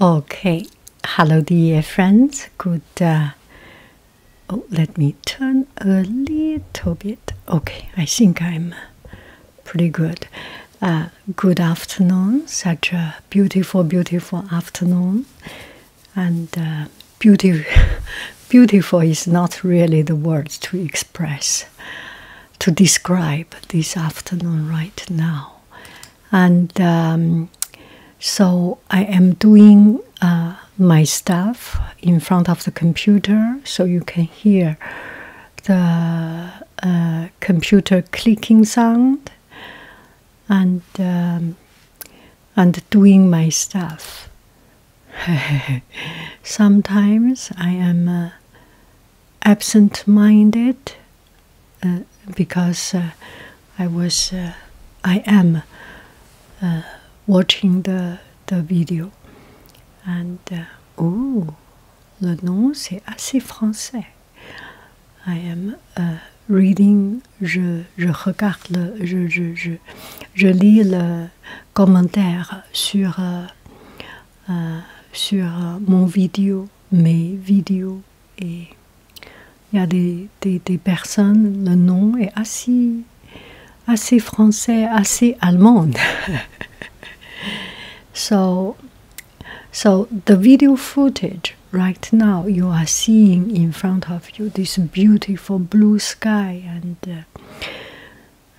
Okay, hello, dear friends. Good. Uh, oh, let me turn a little bit. Okay, I think I'm pretty good. Uh, good afternoon. Such a beautiful, beautiful afternoon, and uh, beautiful. beautiful is not really the words to express, to describe this afternoon right now and um, so I am doing uh, my stuff in front of the computer, so you can hear the uh, computer clicking sound and um, and doing my stuff. Sometimes I am uh, absent-minded uh, because uh, I was, uh, I am uh, watching the the video, and oh, le nom c'est assez français. I am reading. Je je regarde le je je je je lis le commentaire sur sur mon vidéo mes vidéos And there are des, des, des personnes, le French est German. so, so the video footage right now you are seeing in front of you this beautiful blue sky and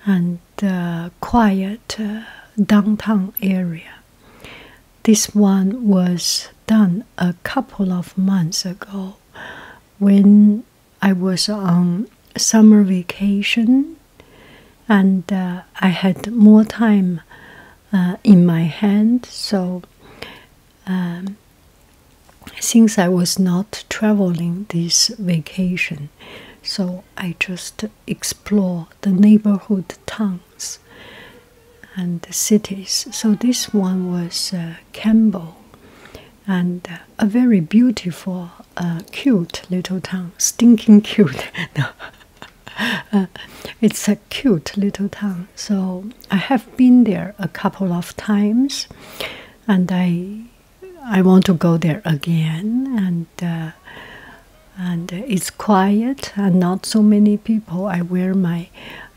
and uh, quiet uh, downtown area. This one was done a couple of months ago when I was on summer vacation and uh, I had more time uh, in my hand. So, um, since I was not traveling this vacation, so I just explore the neighborhood towns and cities. So this one was uh, Campbell, and uh, a very beautiful, uh, cute little town. Stinking cute. Uh, it's a cute little town. So I have been there a couple of times, and I I want to go there again. And and uh, it's quiet and not so many people. I wear my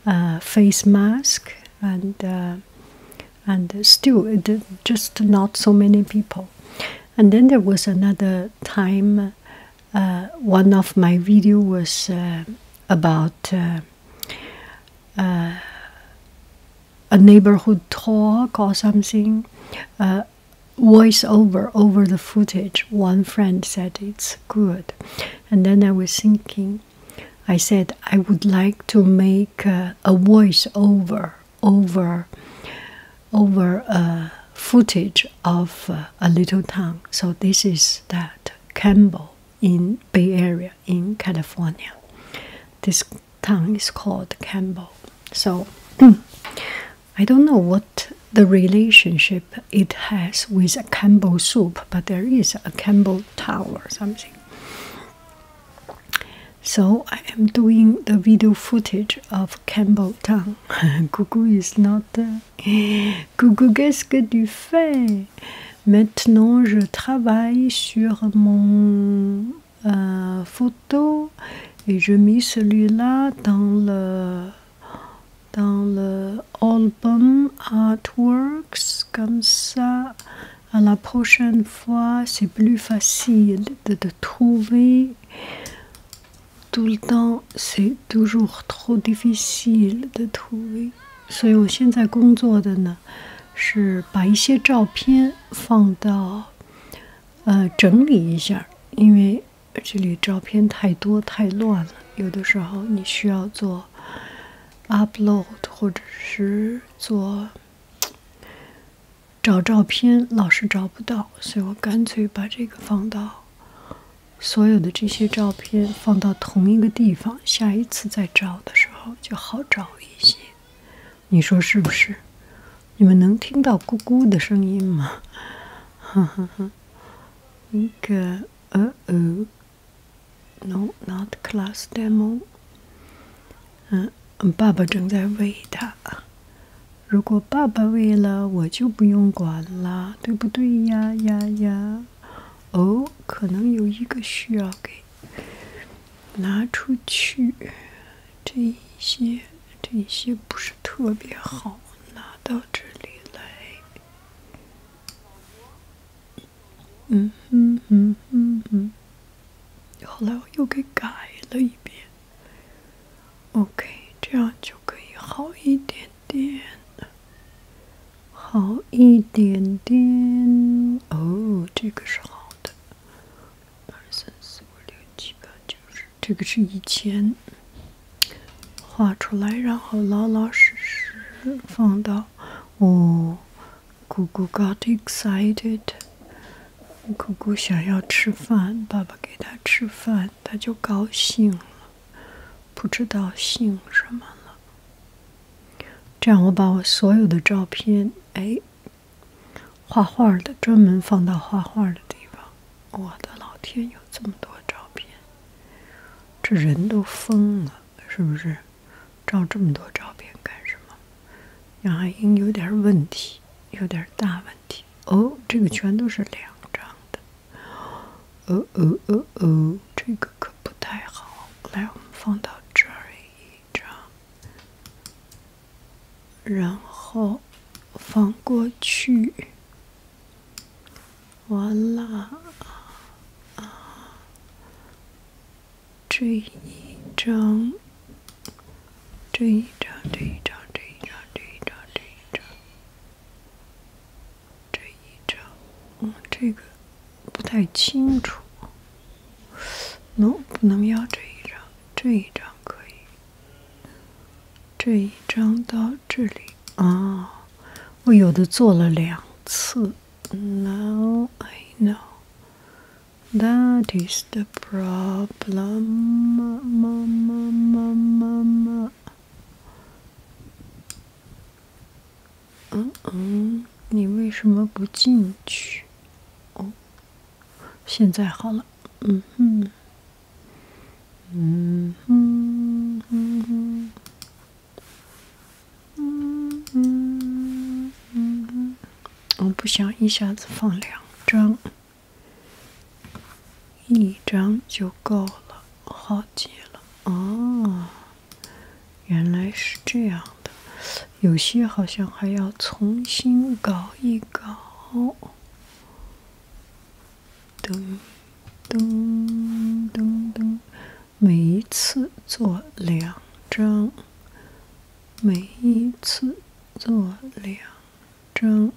uh, face mask and uh, and still just not so many people. And then there was another time. one of my video was about a neighborhood talk or something voice over over the footage. One friend said it's good, and then I was thinking. I said I would like to make a voice over over over uh, footage of uh, a little town. So this is that Campbell in Bay Area in California. This town is called Campbell. So I don't know what the relationship it has with a Campbell soup, but there is a Campbell Tower or something. So I am doing the video footage of Campbell Town. Coucou is not there. Uh, Coucou, qu'est-ce que tu fais? Maintenant, je travaille sur mon euh, photo et je mets celui-là dans le dans le album Artworks, comme ça, à la prochaine fois, c'est plus facile de, trouver. Tout le temps, c'est toujours trop difficile de trouver. je 这里照片太多太乱了，有的时候你需要做 upload，或者是做找照片，老是找不到，所以我干脆把这个放到所有的这些照片放到同一个地方，下一次再找的时候就好找一些。你说是不是？你们能听到咕咕的声音吗？哈哈。一个呃呃，no，not class demo。嗯，爸爸正在喂他。如果爸爸喂了，我就不用管了，对不对呀呀呀？哦，可能有一个需要给拿出去，这些这些不是特别好。我拿到这里来，嗯哼嗯嗯嗯。后来我又给改了一遍，OK，这样就可以好一点点，好一点点。哦，这个是好的。二三四五六七八九十。这个是以前画出来，然后老老实实放到我姑姑 got excited。姑姑想要吃饭，爸爸给她吃饭，她就高兴了，不知道姓什么了。这样我把我所有的照片，哎，画画的专门放到画画的地方。我的老天，有这么多照片！这人都疯了，是不是？照这么多照片干什么？杨海英有点问题，有点大问题。哦，这个全都是两张的。哦哦哦哦，这个可不太好。来，我们放到这儿一张，然后放过去。完了啊！这一张，这一张，这一张，这一张，这一张，这一张，嗯，这个不太清楚。能不能要这一张？这一张可以。这一张到这里啊，我有的做了两次。Now I know that is the problem. 嗯嗯，你为什么不进去？哦，现在好了。嗯哼。嗯嗯我不想一下子放两张，一张就够了，好极了啊！原来是这样的，有些好像还要重新搞一搞。噔噔噔噔，每一次做两张，每一次做两张。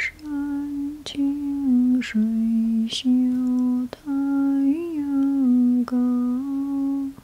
山清水秀，太阳高。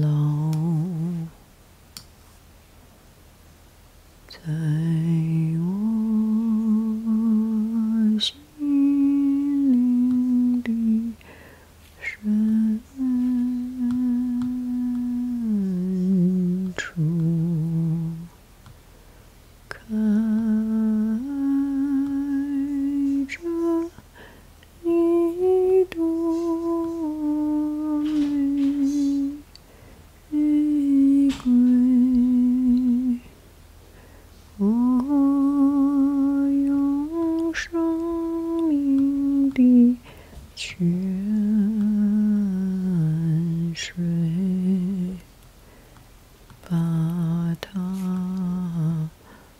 老在我心灵的深处，开着。一朵玫瑰，我用生命的泉水把它。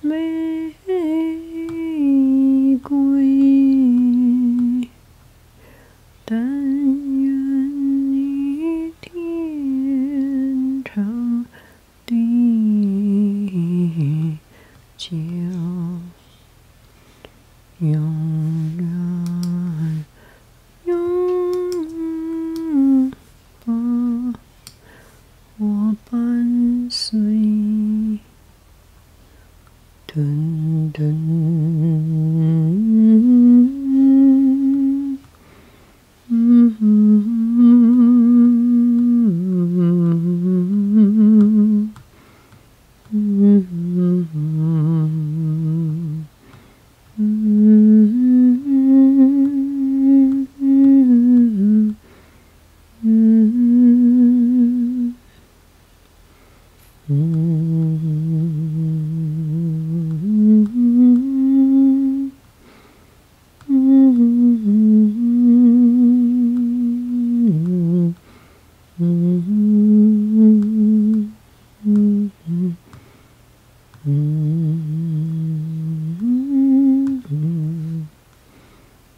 玫瑰，但愿天长地久，永远我伴随。Dun, dun. Mm -hmm. Mm -hmm. Mm -hmm. Mm Hmm. Mm. Mm.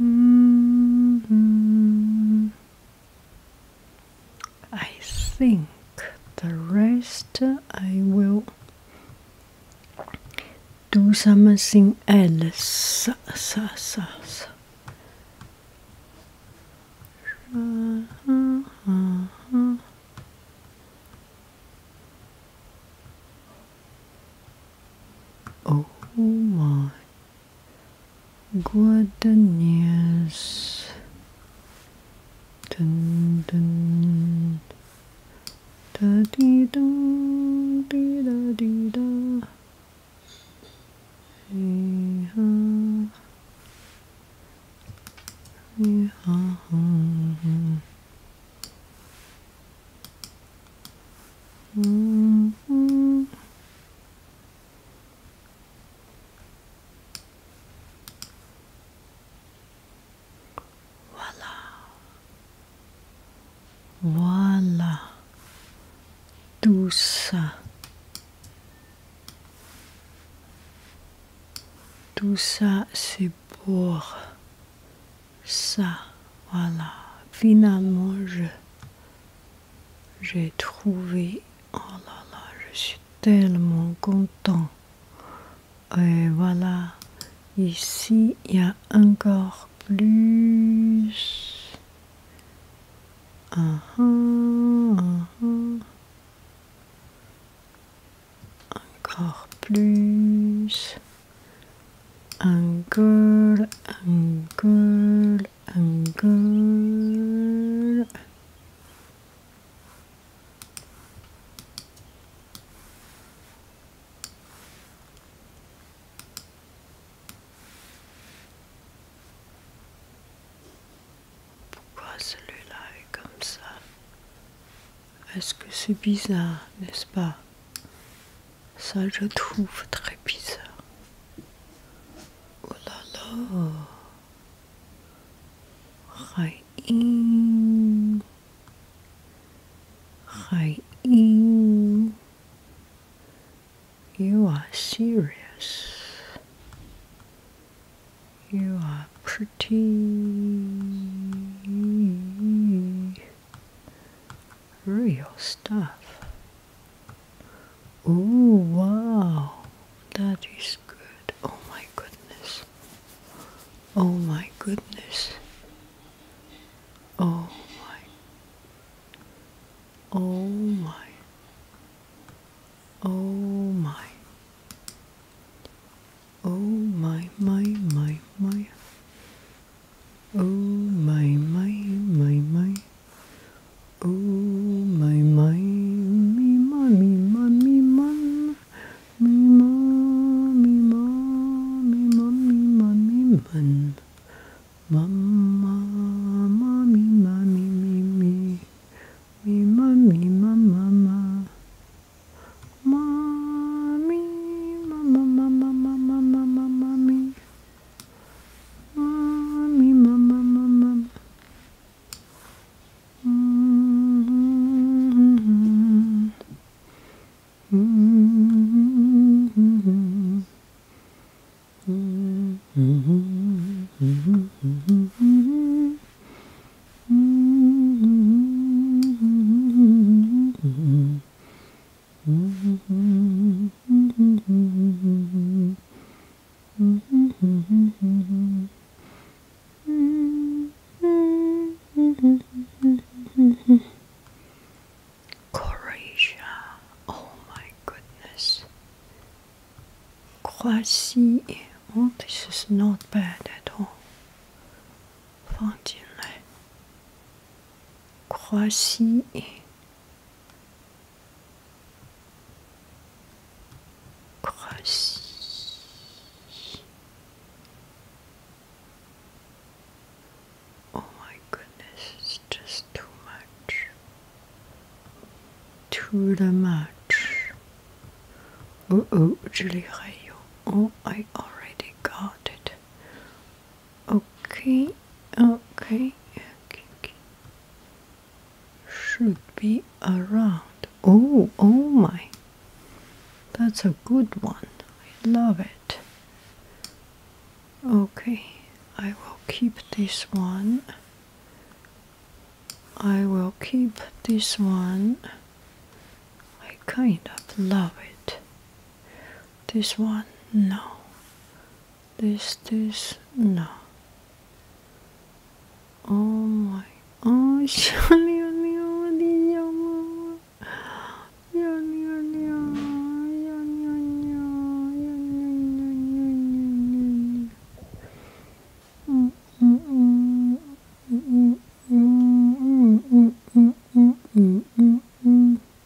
Mm-hmm. I think the rest I will do something else. Uh-huh. Oh my goodness. Dun, dun. Da dee da dee da dee da. Hey ha. Voilà. Voilà. Tout ça. Tout ça, c'est pour ça, voilà. Finalement, je j'ai trouvé. Oh là là, je suis tellement content. Et voilà. Ici, il y a encore plus. un uh-huh, uh-huh. Encore plus. Uncle, un uncle. Pourquoi celui-là est comme ça Est-ce que c'est bizarre, n'est-ce pas Ça, je trouve très bizarre. Oh là là. Hi, Hi, Raïm. You are serious. You are pretty real stuff. Oh wow, that is good. Oh my goodness. Oh my goodness. Oh my. Oh my. Oh my. Oh my, my, my, my. Oh my my my my Oh my my me mommy mommy mum me mommy mommy mommy mommy mum Mama mommy mommy me me me mommy mama mama Mommy mama, mama, mama, mama, mommy. Mommy, mama, mama. Mm -hmm. Mm -hmm. Mm -hmm. Croatia, oh my goodness. Croatie, oh, this is not bad at all. Fontainebleau. Croatie. Croatie. Oh my goodness, it's just too much. Too much. Oh oh, Julie Rayo. Oh, I already got it. Okay, okay, Should be around. Oh, oh my. That's a good one. I love it. Okay, I will keep this one. I will keep this one. I kind of love it. This one, no. This, this, no. Oh my, oh,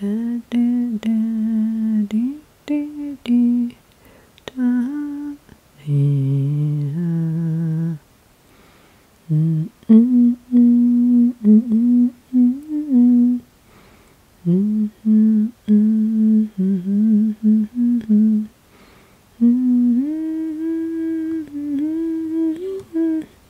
da da da dee dee dee da dee da mm mm mm mm mm mm mm mm mm mm mm mm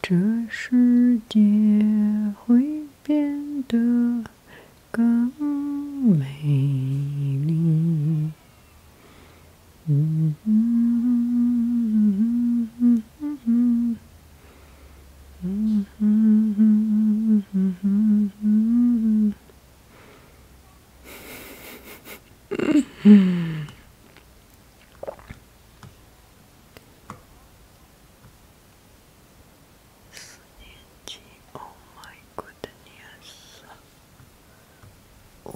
这世界会变得更美丽。oh my goodness. Oh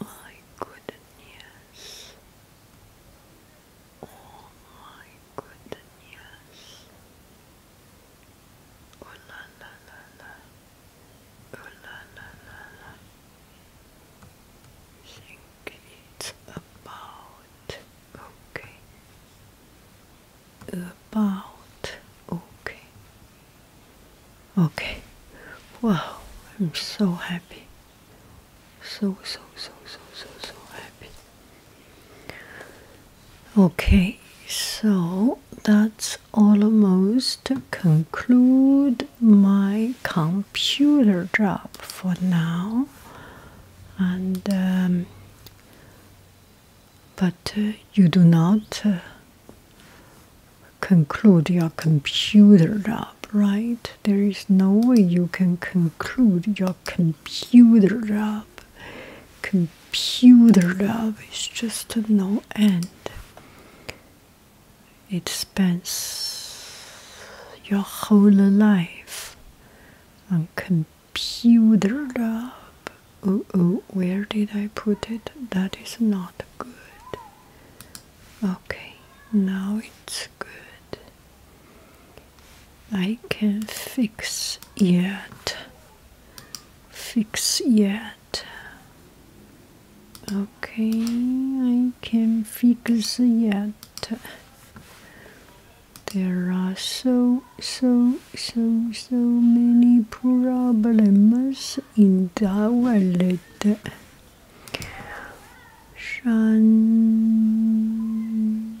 my goodness. Oh my goodness. Oh la la la la. Oh la la la la. I think it's about okay. About okay. Okay. Wow, I'm so happy. So so so so so so happy. Okay, so that's almost conclude my computer job for now, and um, but uh, you do not uh, conclude your computer job, right? There is no way you can conclude your computer job. Computer love is just no end. It spends your whole life on computer love. Oh, oh, where did I put it? That is not good. Okay, now it's good. I can fix yet. Fix yet. Okay, I can fix yet. There are so, so, so, so many problems in our world. Shan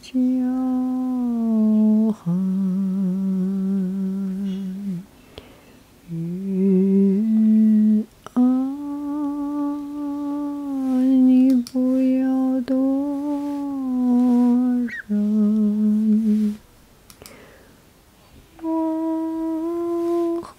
叫喊，雨啊，你不要多生恼火。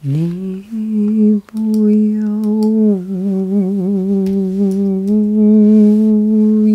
你不要无言。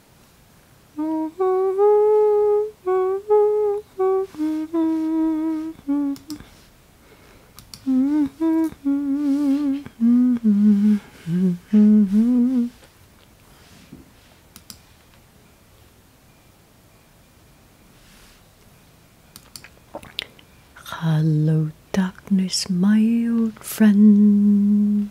Hello, darkness, my old friend.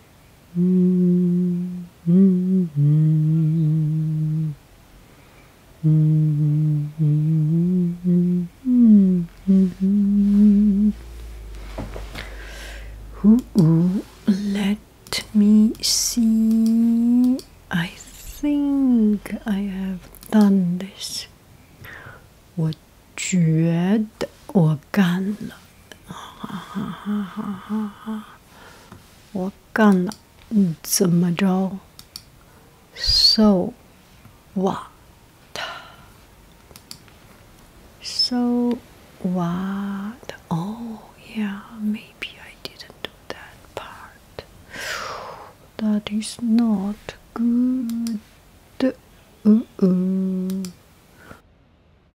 Ooh, let me see. I think I have done this. 我觉得我干了。我干了，嗯，怎么着？So what? So what? Oh yeah, maybe I didn't do that part. That is not good. Uh-uh.